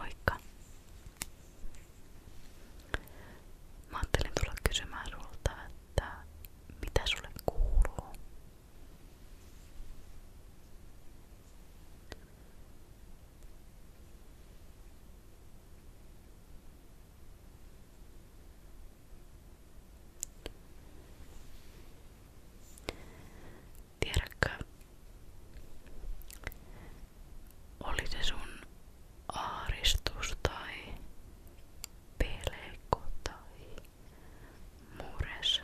Moikka! Mä ajattelin tulla kysymään sulta, että mitä sulle kuuluu? Tiedätkö, oli se sun aaristus tai pelko tai mures,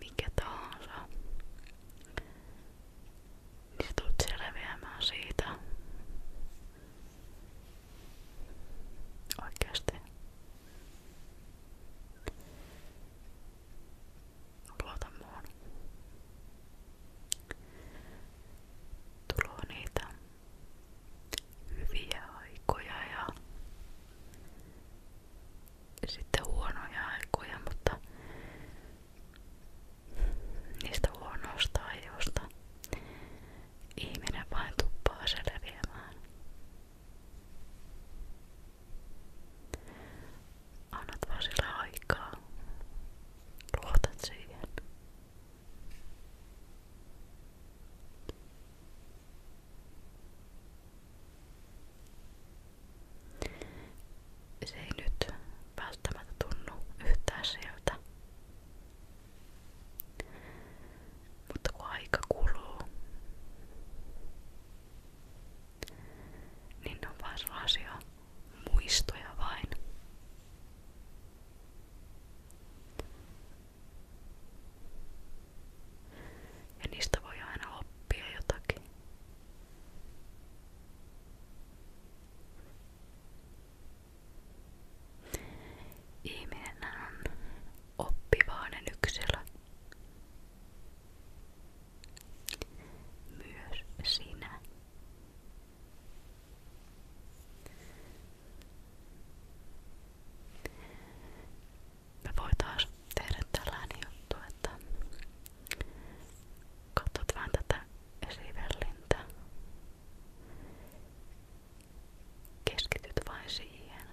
mikä tahansa, niin sä tulet selviämään siitä. Oikeasti. Luota muun. Tulee niitä hyviä aikoja ja sitten huonoja aikoja, mutta niistä huonoista ajoista ihminen vain tuppaa selviämään. Annat vaan sille aikaa. Luotat siihen. Se ei nyt välttämättä tunnu yhtään siltä. Mutta kun aika kuluu, niin ne on vaan sellaisia muistoja vain. Ja niistä voi aina oppia jotakin. Ihminen on oppivainen yksilö. Myös sinä me voitais tehdä tällainen juttu, että katsot vähän tätä esivellintä. Keskityt vain siihen.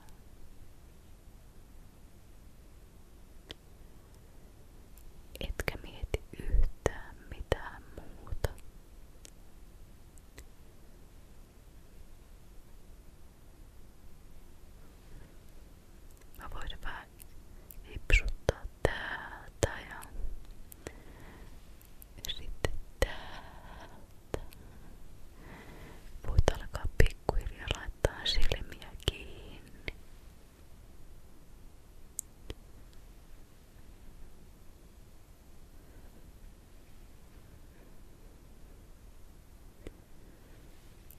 Etkä mieti yhtään mitään muuta. Mä voin vähän hipsuttaa täältä ja sitten täältä. Voit alkaa pikkuhiljaa laittaa silmiä kiinni. Hyvä.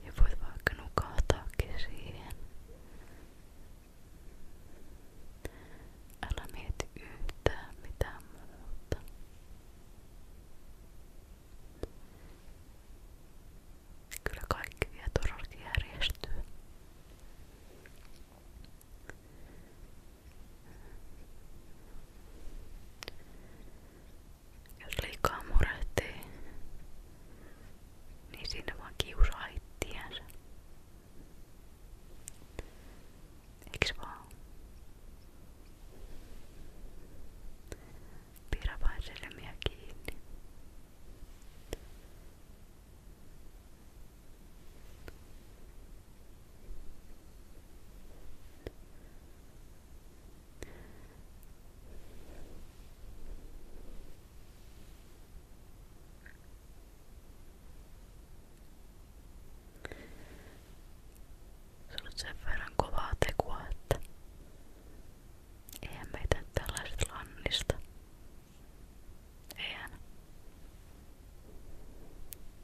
Ja voit vaikka nukahtaakin siihen. Älä mieti yhtään mitään muuta. Kyllä kaikki vielä todellakin järjestyy. jos liikaa murehtii, niin siinä vaan kiusaa ittiänsä. Eiks vaan? Pidä vain selmiä kiinni. Se on sen verran kovaa tekoa, että eihän meitä nyt tällaiset lannista. Eihän.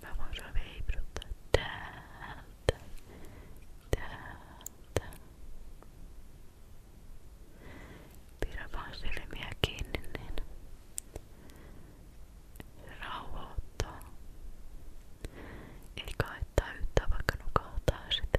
Vad var det vi pratade där, där, täältä. Pidä vaan silmiä kiinni, niin rauhoittaa. Ei kaittaa yhtään vaikka nukahtaa sitä.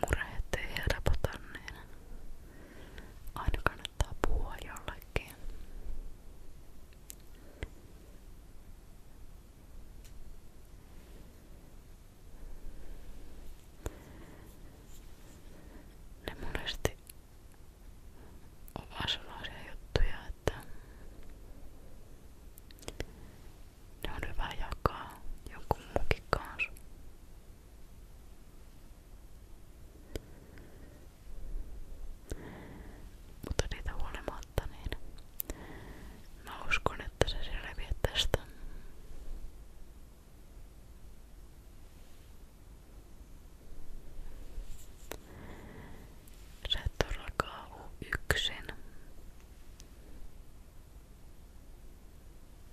murheet ei helpota, niin aina kannattaa puhua jollekin. Ne monesti on vaan sellaisia juttuja, että ne on hyvä jakaa jonkun muunkin kanssa. Mutta niitä huolimatta, niin mä uskon, että se selviää tästä. Sä et todellakaan yksin.